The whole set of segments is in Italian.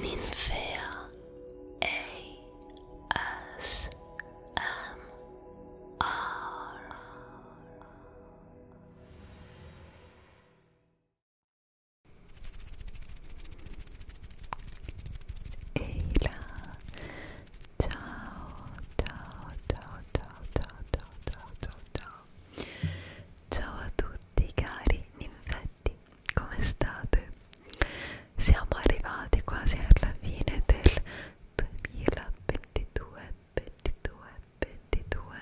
Ninfea ASMR Ehi là, ciao, ciao, ciao, ciao, ciao, ciao, ciao, ciao, ciao a tutti cari ninfetti Bentini, come state? Siamo arrivati quasi alla fine del 2022, 22, 22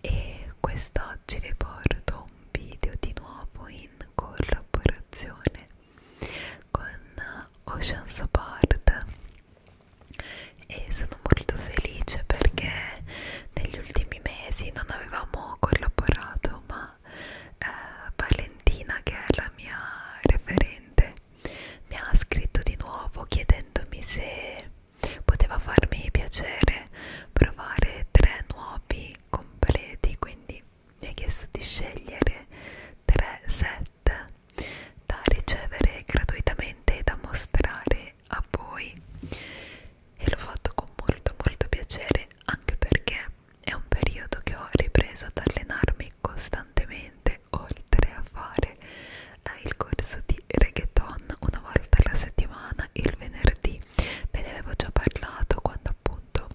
e quest'oggi vi porto un video di nuovo in collaborazione con Ocean Apart e sono molto felice perché negli ultimi ultimi mesi non avevamo collaborato ma eh, Valentina che è la mia referente mi ha scritto di nuovo chiedendomi se poteva farmi piacere provare tre nuovi completi quindi mi ha chiesto di scegliere tre set da ricevere gratuitamente e da mostrare a voi e l'ho fatto con molto molto piacere anche perché è un periodo che ho ripreso ad allenarmi costantemente oltre a fare eh, il corso di reggaeton una volta alla settimana il venerdì ve ne avevo già parlato quando appunto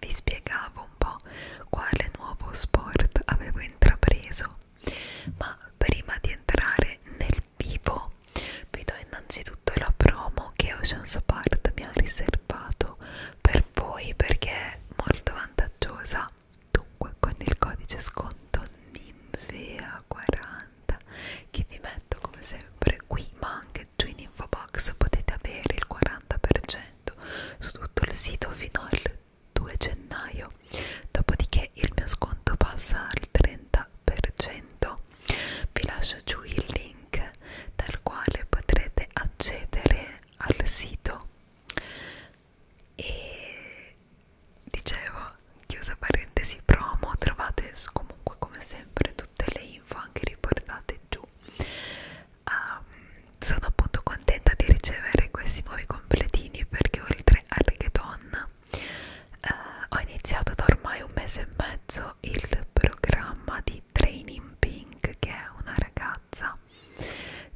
vi spiegavo un po' quale nuovo sport avevo intrapreso ma prima di entrare nel dal vivo vi do innanzitutto la promo che Oceans Apart mi ha riservato per voi perché è molto vantaggiosa dunque con il codice sconto NIMVEA40 che vi metto come sempre qui ma anche giù in info box potete avere il 40% su tutto il sito fino al 2 gennaio dopodiché il mio sconto passa al 30% 30%. Vi lascio giù il link dal quale potrete accedere al sito. E dicevo, chiusa parentesi promo, trovate comunque come sempre tutte le info anche riportate giù. Um, sono appunto contenta di ricevere questi nuovi completini perché oltre al reggaeton Uh, ho iniziato da ormai un mese e mezzo il programma di Training Pink che è una ragazza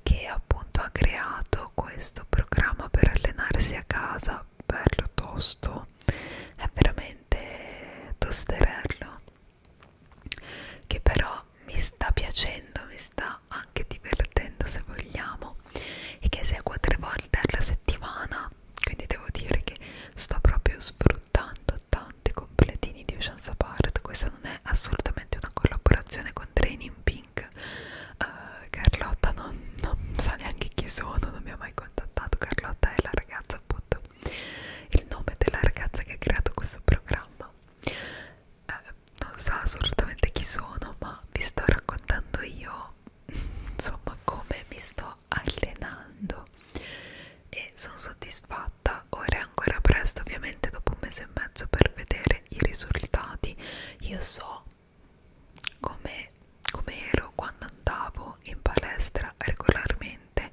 che appunto ha creato questo programma per allenarsi a casa bello tosto è veramente tosterello che però mi sta piacendo mi sta anche divertendo se vogliamo e che eseguo tre volte alla settimana quindi devo dire che sto proprio sfruttando tanti completini di Ocean Apart questa non è assolutamente una collaborazione con Training Pink uh, Carlotta non, non sa neanche chi sono non mi ha mai contattato Carlotta è la ragazza appunto il nome della ragazza che ha creato questo programma uh, non sa assolutamente chi sono ma vi sto raccontando io insomma come mi sto allenando e sono soddisfatta ora è ancora presto ovviamente dopo un mese e mezzo per vedere i risultati io so come, come ero quando andavo in palestra regolarmente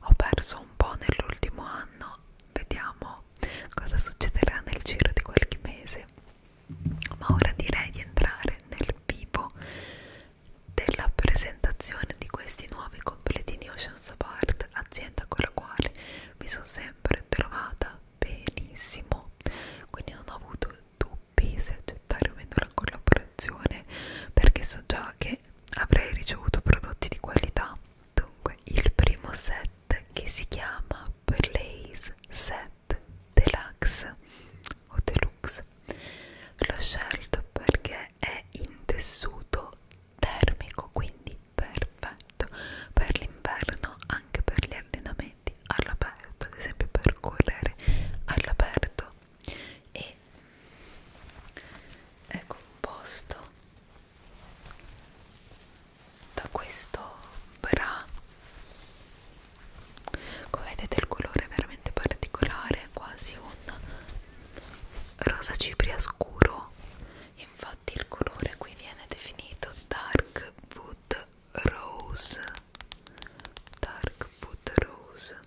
ho perso un po' nell'ultimo anno vediamo cosa succederà nel giro di qualche mese ma ora direi di entrare nel vivo della presentazione di questi nuovi completini Oceans Apart, azienda con la quale mi sono sempre trovata benissimo, quindi non ho avuto dubbi se accettare o meno la collaborazione perché so già che avrei ricevuto prodotti di qualità. Dunque, il primo set che si chiama Blaze Set Deluxe o Deluxe l'ho scelto perché è in tessuto termico quindi perfetto per l'inverno anche per gli allenamenti all'aperto ad esempio per correre all'aperto e è composto ecco, da questo bra come vedete il colore è veramente particolare quasi un rosa cipria scuro infatti il colore qui viene definito dark wood rose dark wood rose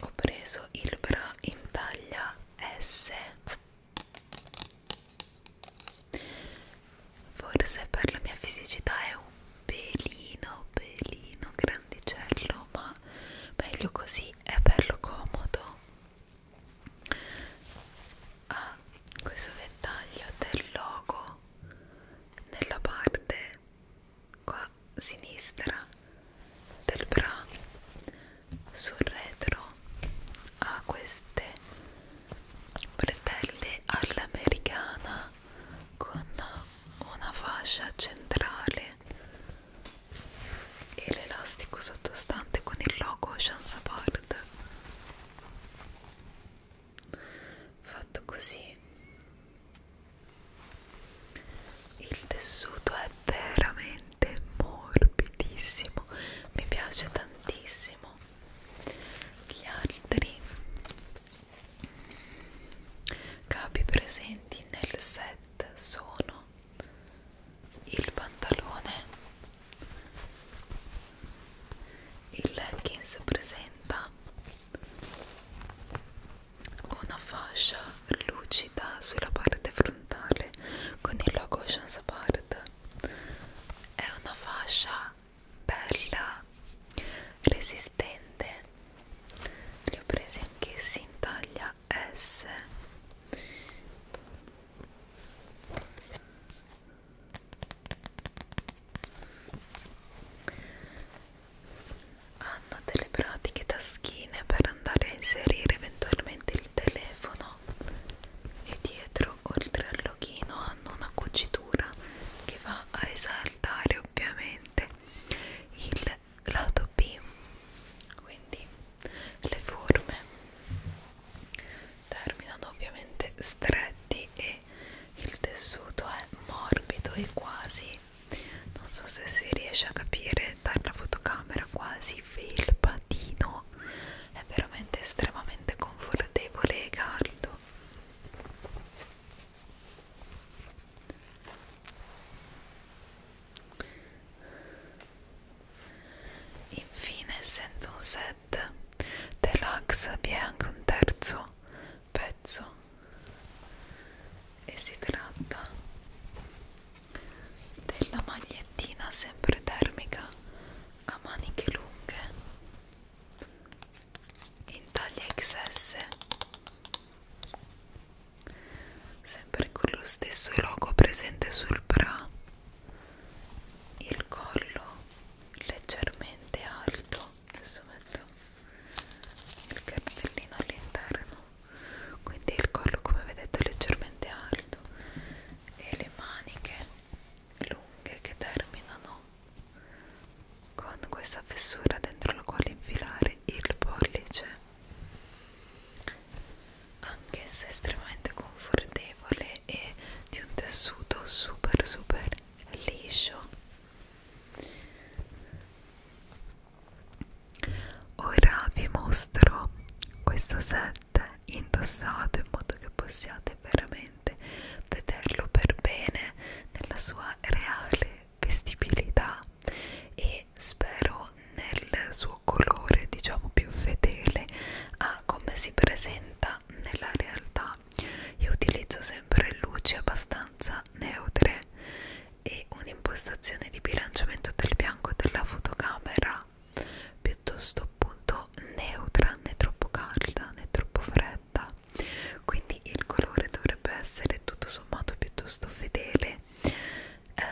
ho preso il bra in taglia S Forse per la mia fisicità è un pelino, pelino grandicello, ma meglio così, è bello comodo. Ha ah, questo dettaglio del logo nella parte qua a sinistra del bra sul retro ha queste bretelle all'americana con una fascia centrale e l'elastico sottostante con il logo Chansapard fatto così il tessuto è veramente veramente morbidissimo mi piace tantissimo gli altri capi presenti nel set sono il pantalone il leggings presenta una fascia lucida sulla parte frontale con il logo Chance Apart è una fascia bella resistente li ho presi anch'essi in taglia S hanno delle pratiche taschine per andare a inserire eventualmente il telefono interno e dietro oltre al loghino hanno una cucitura che va a esaltare ovviamente il lato B quindi le forme terminano ovviamente stretti e il tessuto è morbido e quasi non so se si riesce a capire dalla fotocamera quasi felpa cioccolatino è veramente estremamente confortevole e caldo infine essendo un set deluxe vi è anche un terzo pezzo e si tratta della magliettina sempre termica a maniche lunghe in taglia XS sempre con lo stesso logo presente sul bra il collo leggermente alto adesso metto il cartellino all'interno quindi il collo come vedete è leggermente alto e le maniche lunghe che terminano con questa fessura dentro la quale infilare il pollice anche se estremamente confortevole e di un tessuto super super liscio Ora vi mostro questo set indossato in modo che possiate veramente vederlo per bene nella sua reale vestibilità e spero nel suo colore diciamo più fedele a come si presenta nella realtà io utilizzo sempre luci abbastanza neutre e un'impostazione di bilanciamento del bianco della fotocamera calda piuttosto appunto neutra né troppo calda né troppo fredda quindi il colore dovrebbe essere tutto sommato piuttosto fedele eh,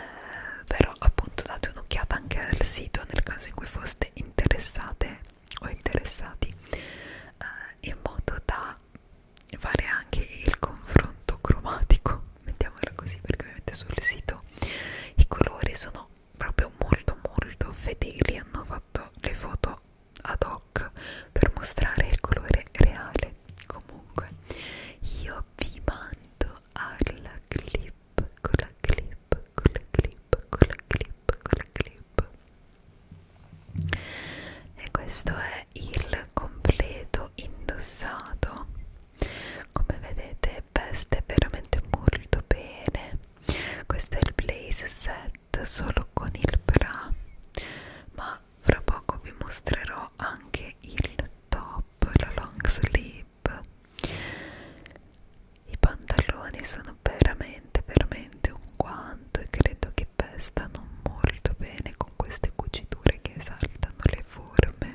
però appunto date un'occhiata anche al sito nel caso in cui foste interessate o interessati eh, in modo da fare anche il confronto cromatico mettiamola così perché ovviamente sul sito i colori sono proprio molto molto fedeli hanno fatto le foto ad hoc per mostrare il colore reale comunque io vi mando alla clip con la clip con la clip con la clip con la clip e questo è il completo indossato come vedete veste veramente molto bene questo è il blaze set solo con il bra ma fra poco vi mostrerò anche il top la long sleeve i pantaloni sono veramente veramente un guanto e credo che pestano molto bene con queste cuciture che esaltano le forme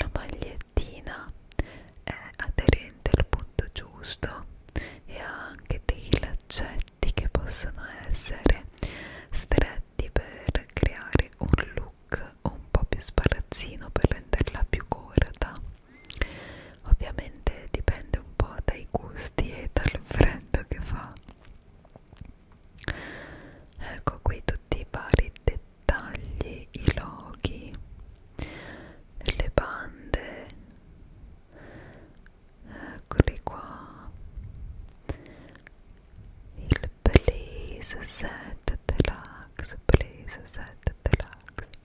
la magliettina è aderente al punto giusto e ha anche dei laccetti che possono essere stretti per creare un look un po' più sparazzino per renderla più corta ovviamente dipende un po' dai gusti e dal freddo che fa ecco qui tutti i vari dettagli i loghi le bande eccoli qua il Blaze Set Deluxe Blaze Set Deluxe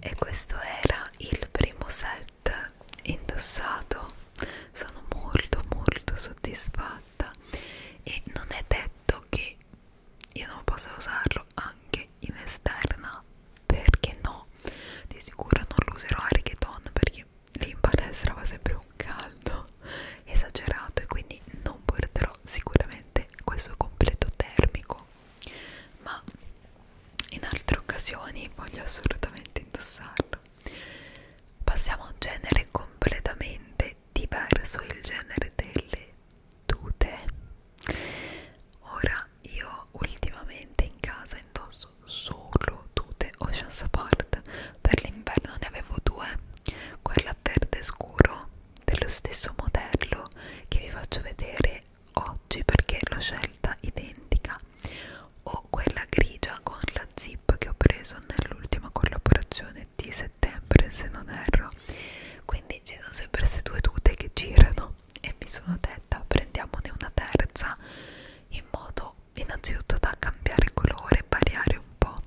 e questo era il primo set indossato sono molto molto soddisfatta fatta e non è detto che io non possa usarlo anche in esterna perché no di sicuro non lo userò a reggaeton perché lì in palestra va sempre un caldo esagerato e quindi non porterò sicuramente questo completo termico ma in altre occasioni voglio assolutamente indossarlo horror. Passiamo a un genere completamente diverso, il genere delle tute. Ora io ultimamente in casa indosso solo tute Ocean's Apart. Per l'inverno ne avevo due, quella verde scuro dello stesso modello che vi faccio vedere oggi perché l'ho scelta identica o quella grigia con la zip che ho preso nell'ultima collaborazione di settembre se non erro quindi ci sono sempre queste due tute che girano e mi sono detta prendiamone una terza in modo innanzitutto da cambiare colore variare un po'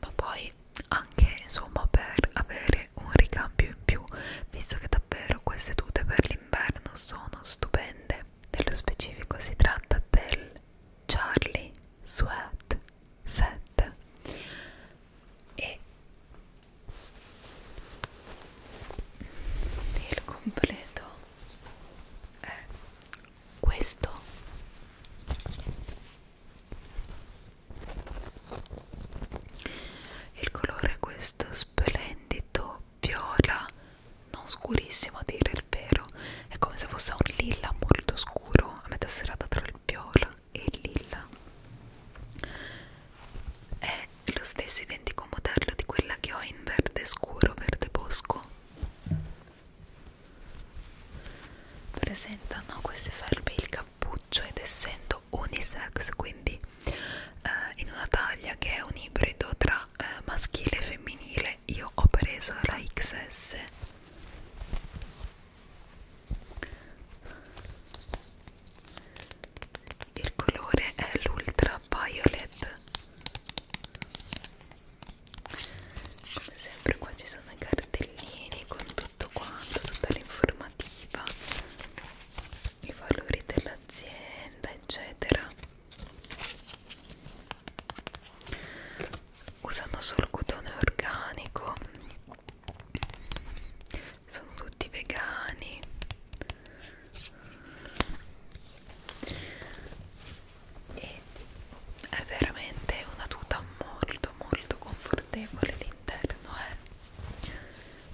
ma poi anche insomma per avere un ricambio in più visto che davvero queste tute per l'inverno sono stupende nello specifico si tratta del Charlie Sweat 7 e il completo è questo il colore è questo splendido viola non scurissimo a dire il vero, è come se fosse un lilla molto scuro a metà serata tra il viola e il lilla. È lo stesso identico modello di quella che ho in verde scuro, verde bosco. Presentano queste felpe il cappuccio ed essendo unisex, quindi eh, in una taglia che è un ibrido tra eh, maschile e femminile mentre io ho preso la XS il colore è l'ultra violet come sempre qua ci sono i cartellini con tutto quanto tutta l'informativa i valori dell'azienda eccetera usano solo cotone organico sono tutti vegani e è veramente una tuta molto molto confortevole l'interno è eh?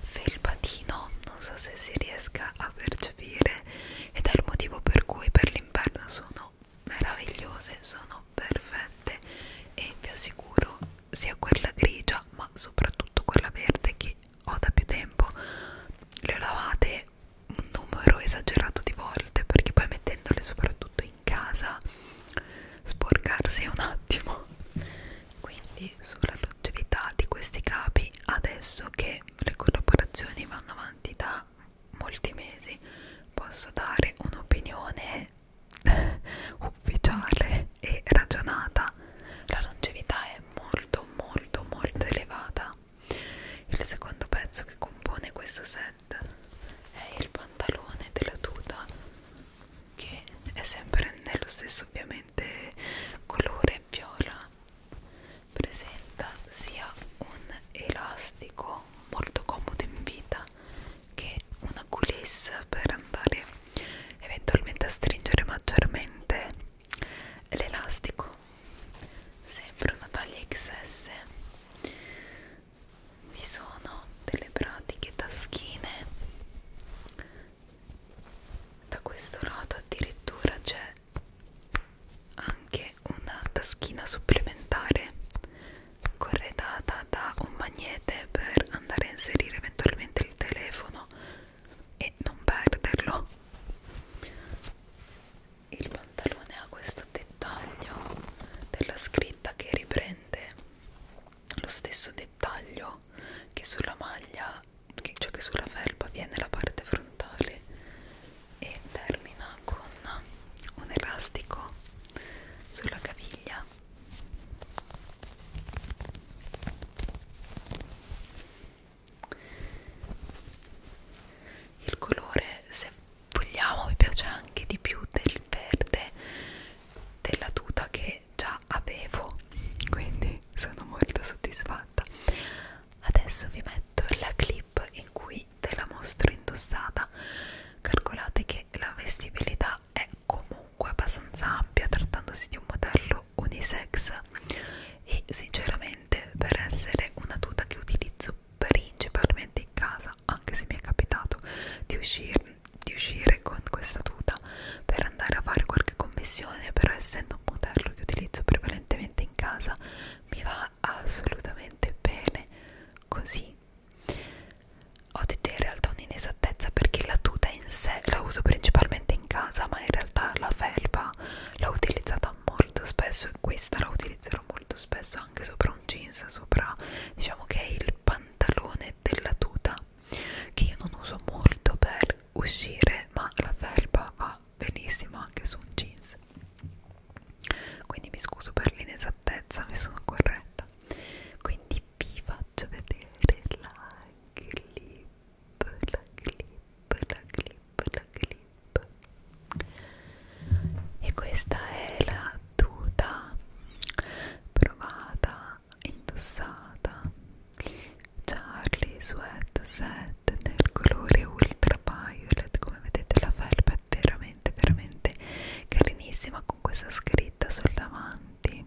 felpatino non so se si riesca a percepire ed è il motivo per cui per l'inverno sono sono meravigliose, sono perfette e vi assicuro sia quella grigia ma soprattutto quella verde che ho da più tempo le ho lavate un numero esagerato di volte perché poi mettendole soprattutto in casa sporcarsi un attimo quindi sulla longevità di questi capi adesso che le collaborazioni vanno avanti da da molti mesi posso dare un'opinione ufficiale e ragionata la longevità è molto molto molto elevata il secondo pezzo che compone questo set è il pantalone della tuta che è sempre nello stesso ovviamente colore viola presenta sia un elastico molto comodo in vita che una coulisse per andare eventualmente a stringere maggiormente l'elastico sempre una taglia XS vi sono delle pratiche taschine da questo lato addirittura c'è anche una taschina supplementare corredata da un magnete per andare a inserire eventualmente il telefono e non perderlo il pantalone ha questo dettaglio della scritta che riprende lo stesso dettaglio che sulla maglia che, cioè che sulla felpa viene la parte frontale e termina con un elastico sulla caviglia il colore se vogliamo mi piace anche di più del verde della tuta che già avevo quindi sono molto soddisfatta adesso vi metto la clip clip in cui te la mostro indossata calcolate che la vestibilità è comunque abbastanza ampia trattandosi di un modello unisex e sinceramente per essere una tuta che utilizzo principalmente in casa anche se mi è capitato di uscire, di uscire con questa tuta per andare a fare qualche commissione però essendo un modello che utilizzo prevalentemente in casa mi va assolutamente bene così ho detto in realtà un'inesattezza perché la tuta in sé la uso principalmente in casa ma in realtà la felpa l'ho utilizzata molto spesso e questa la utilizzerò molto spesso anche sopra un jeans sopra diciamo che è il pantalone della tuta che io non uso molto per uscire ma la felpa va benissimo anche su un jeans quindi mi scuso per l'inesattezza mi sono corretta quindi vi faccio vedere la clip la clip la clip la clip e questa è la tuta provata indossata Charlie Sweat Set nel colore il Violet come vedete la felpa è veramente veramente carinissima con questa scritta sul davanti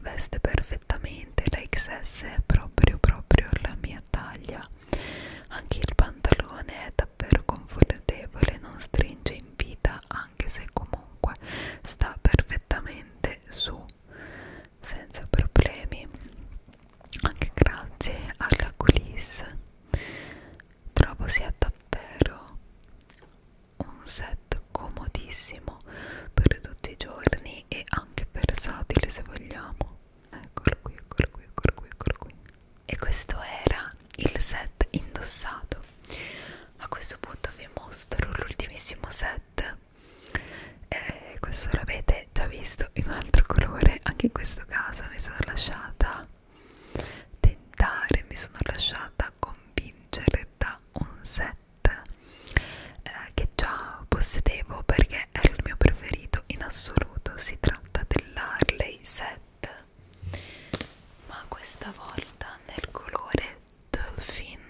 veste perfettamente la XS è proprio proprio la mia taglia anche il pantalone è davvero confortevole non stringe in vita anche se comunque sta perfettamente su senza problemi anche grazie alla coulisse trovo sia davvero un set comodissimo per tutti i giorni e anche versatile se vogliamo eccolo qui eccolo qui eccolo qui eccolo qui e questo era il set indossato a questo punto vi mostro l'ultimissimo set eh, questo l'avete già visto in un altro colore anche in questo caso mi sono lasciata tentare mi sono lasciata convincere da un set eh, che già possedevo perché era il mio preferito in assoluto si tratta dell'Harley set ma questa volta nel colore Dolphin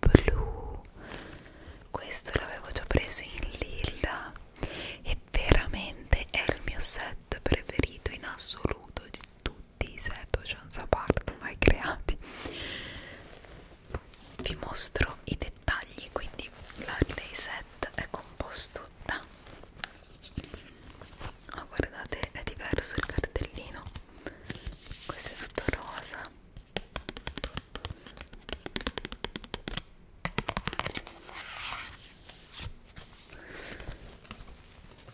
Blue questo l'avevo già preso in lilla e veramente è il mio set preferito in assoluto di tutti i set Ocean's Apart mai creati vi mostro i dettagli quindi l'Arley set è composto da oh, guardate è diverso il cartellino questo è tutto rosa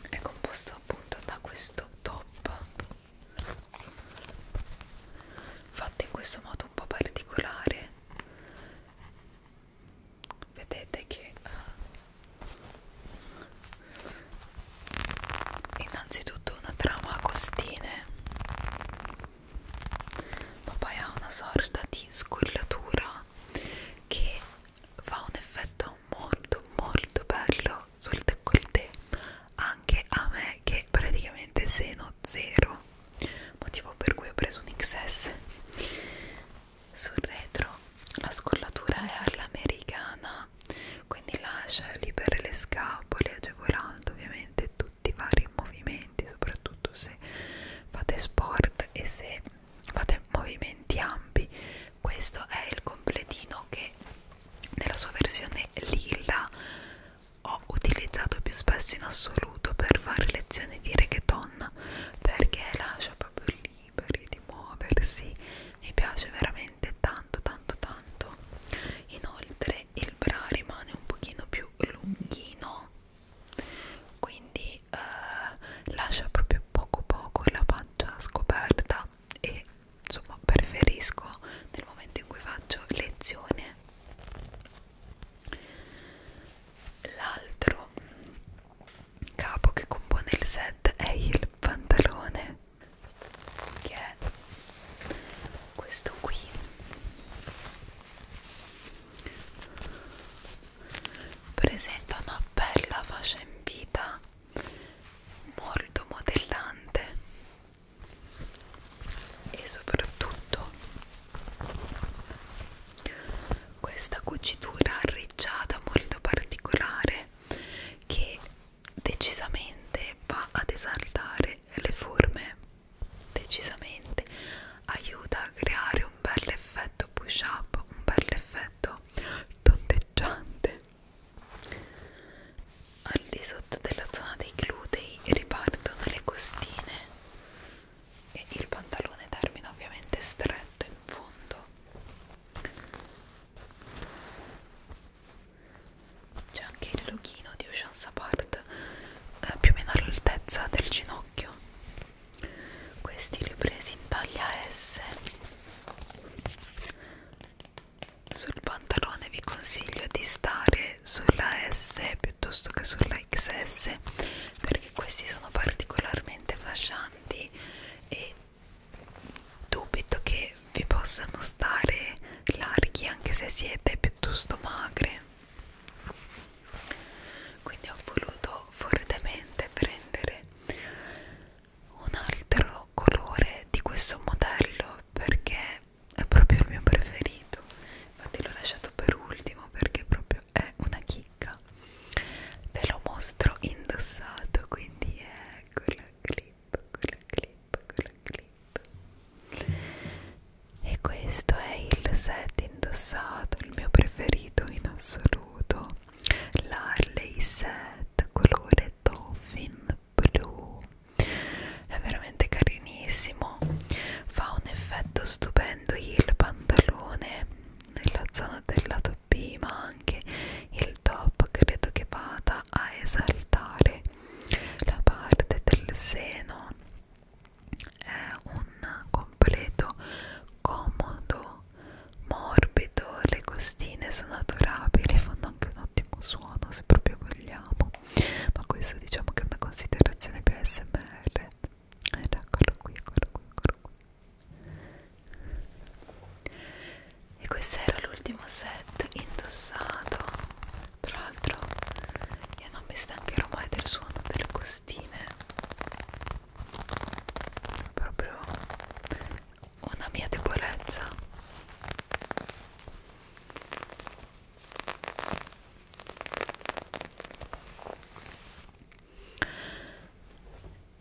è composto appunto da questo top fatto in questo modo un po' particolare vedete che eh, innanzitutto una trama a costine ma poi ha una sorta di scollatura che fa un effetto molto molto bello sul décolleté anche a me che praticamente seno zero motivo per cui ho preso un XS sul retro la scollatura è all'americana quindi lascia libere le scapole agevolando ovviamente tutti i vari movimenti movimenti soprattutto se fate sport e se fate movimenti ampi questo è il completino che nella sua versione lilla ho utilizzato più spesso in assoluto per fare lezioni di reggaeton perché lascia proprio liberi di muoversi mi piace veramente tanto tanto tanto inoltre il bra rimane un pochino più più lunghino quindi eh, lascia proprio poco poco la pancia scoperta e insomma preferisco nel momento in cui faccio lezione l'altro capo che compone il set è il pantalone che è questo qui presenta una bella fascia in vita molto modellante e soprattutto questa cucitura arricciata molto particolare che decisamente va ad esaltare le forme decisamente aiuta a creare un bel effetto push up un bel effetto tondeggiante al di sotto della zona dei glutei ripartono le costine e il pantalone termina ovviamente stretto in fondo c'è anche il loghino di Ocean Sapart eh, più o meno all'altezza del ginocchio questi li ho presi in taglia S sul pantalone vi consiglio di stare sulla S piuttosto che sulla XS perché questi sono particolarmente fascianti e dubito che vi possano stare larghi anche se siete piuttosto magre quindi ho voluto fortemente prendere un altro colore di questo modello perché è proprio il mio preferito infatti l'ho lasciato per ultimo perché proprio è una chicca ve lo mostro indossato quindi è quello lì quella clip, quella clip. E questo è il set indossato, il mio preferito in assoluto. L'Harley set colore Dolphin Blu. È veramente carinissimo. Fa un effetto stupendo il pantalone nella zona del lato B, ma anche il top credo che vada a esaltare la parte del seno è un completo comodo morbido le costine sono adorabili fanno anche un ottimo suono se proprio vogliamo ma questo diciamo che è una considerazione più smr eh, eccolo qui eccolo qui eccolo qui e questo era l'ultimo set indossato tra l'altro io non mi stancherò mai del suono delle costine è proprio una mia debolezza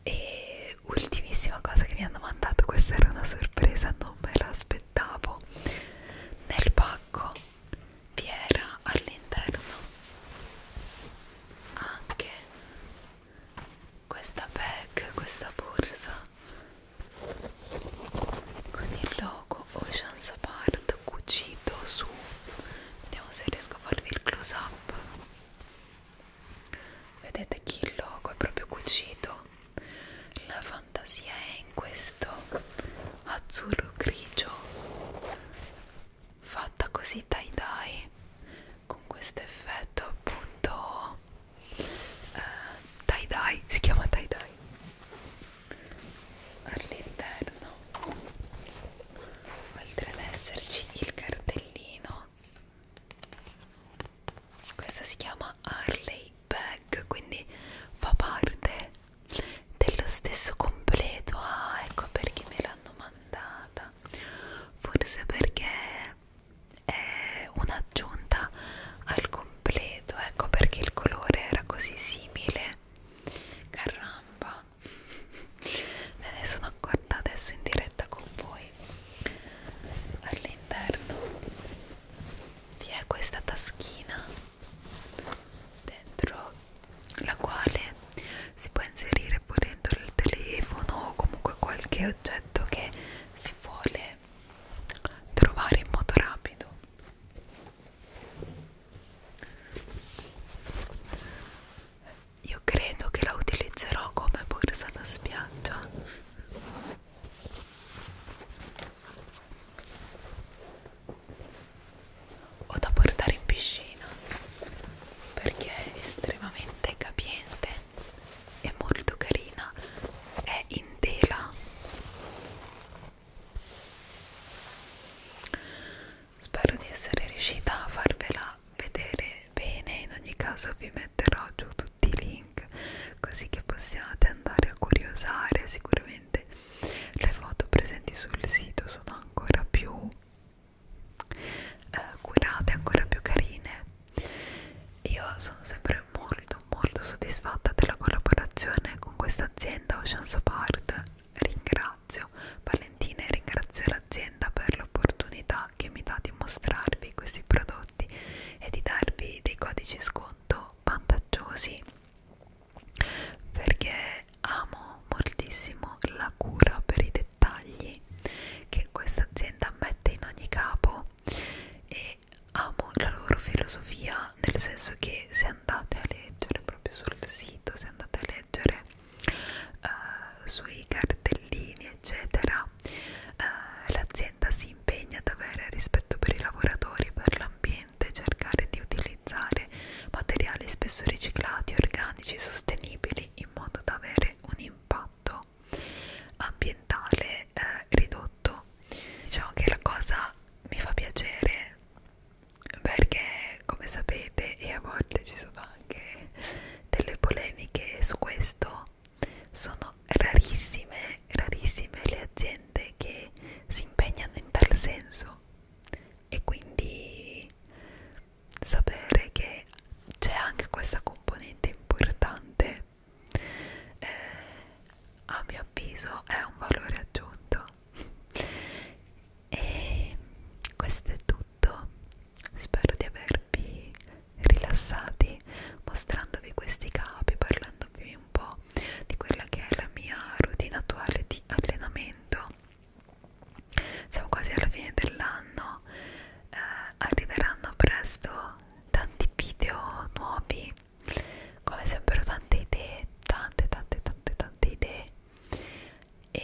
e ultimissima cosa che mi hanno mandato questa era una sorpresa non me l'aspettavo aspettavo nel pacco vi era all'interno anche questa bag questa borsa con il logo Ocean Apart cucito su vediamo se riesco a farvi il close up vedete che il logo è proprio cucito la fantasia è in questo azzurro grigio fatta così dai dai con questo effetto appunto eh, dai eh, dai si chiama dai dai all'interno oltre ad esserci il cartellino questa si chiama Harley bag quindi fa parte dello stesso completo ah ecco perché me l'hanno mandata forse perché è un'aggiunta al completo ecco perché il colore era così simile caramba me ne sono accorta adesso in diretta con voi all'interno vi è questa taschina dentro la quale si può inserire pure dentro il telefono o comunque qualche oggetto che si vuole trovare in modo rapido io credo che la utilizzerò come borsa da spiaggia o da portare in piscina perché è estremamente capiente e molto carina è in tela spero di essere riuscita a farvela vedere bene in ogni caso vi metterò giù tutti i link link così che possiate andare a curiosare sicuramente le foto presenti sul sito sono ancora più eh, curate ancora più carine io sono sempre molto molto soddisfatta della collaborazione con questa azienda Ocean Support ringrazio Valentina e ringrazio l'azienda per l'opportunità che mi dà di mostrarvi questi prodotti e di darvi dei codici sconto molto vantaggiosi perché amo moltissimo la cura per i dettagli che questa azienda mette in ogni capo e amo la loro filosofia nel senso che se andate a leggere proprio sul sito se andate a leggere uh, sui cartellini eccetera eh, l'azienda si impegna ad avere rispetto per i lavoratori e per l'ambiente, cercare di utilizzare materiali spesso riciclati, organici, sostenibili, in modo da avere un impatto ambientale eh, ridotto. Diciamo che la cosa mi fa piacere perché, come sapete, e a volte ci sono anche delle polemiche su questo, sono rarissime, rarissime le aziende che si impegnano in tal senso e quindi sapere che c'è anche questa componente importante eh, a mio avviso è un valore aggiunto e questo è tutto spero di avervi rilassati mostrandovi questi capi, parlandovi un po' di quella che è la mia routine attuale di allenamento. Siamo quasi alla fine dell'anno, eh, arriveranno presto tanti video nuovi, come sempre ho tante idee, tante tante tante tante idee e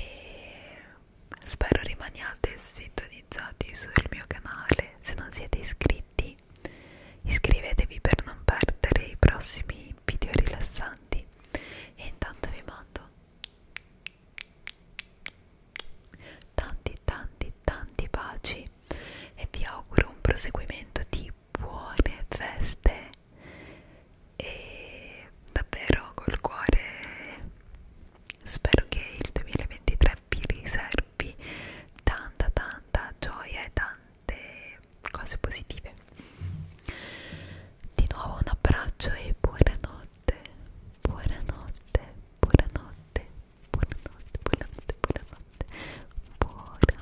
spero rimaniate sintonizzati sul mio canale se non siete iscritti Iscrivetevi per non perdere i prossimi video rilassanti e intanto vi mando tanti tanti tanti baci e vi auguro un proseguimento di buone feste e davvero col cuore spero che il 2023 vi riservi darvi tanta tanta gioia e tante cose positive di nuovo un abbraccio e buonanotte buonanotte buonanotte buonanotte buonanotte buonanotte buonanotte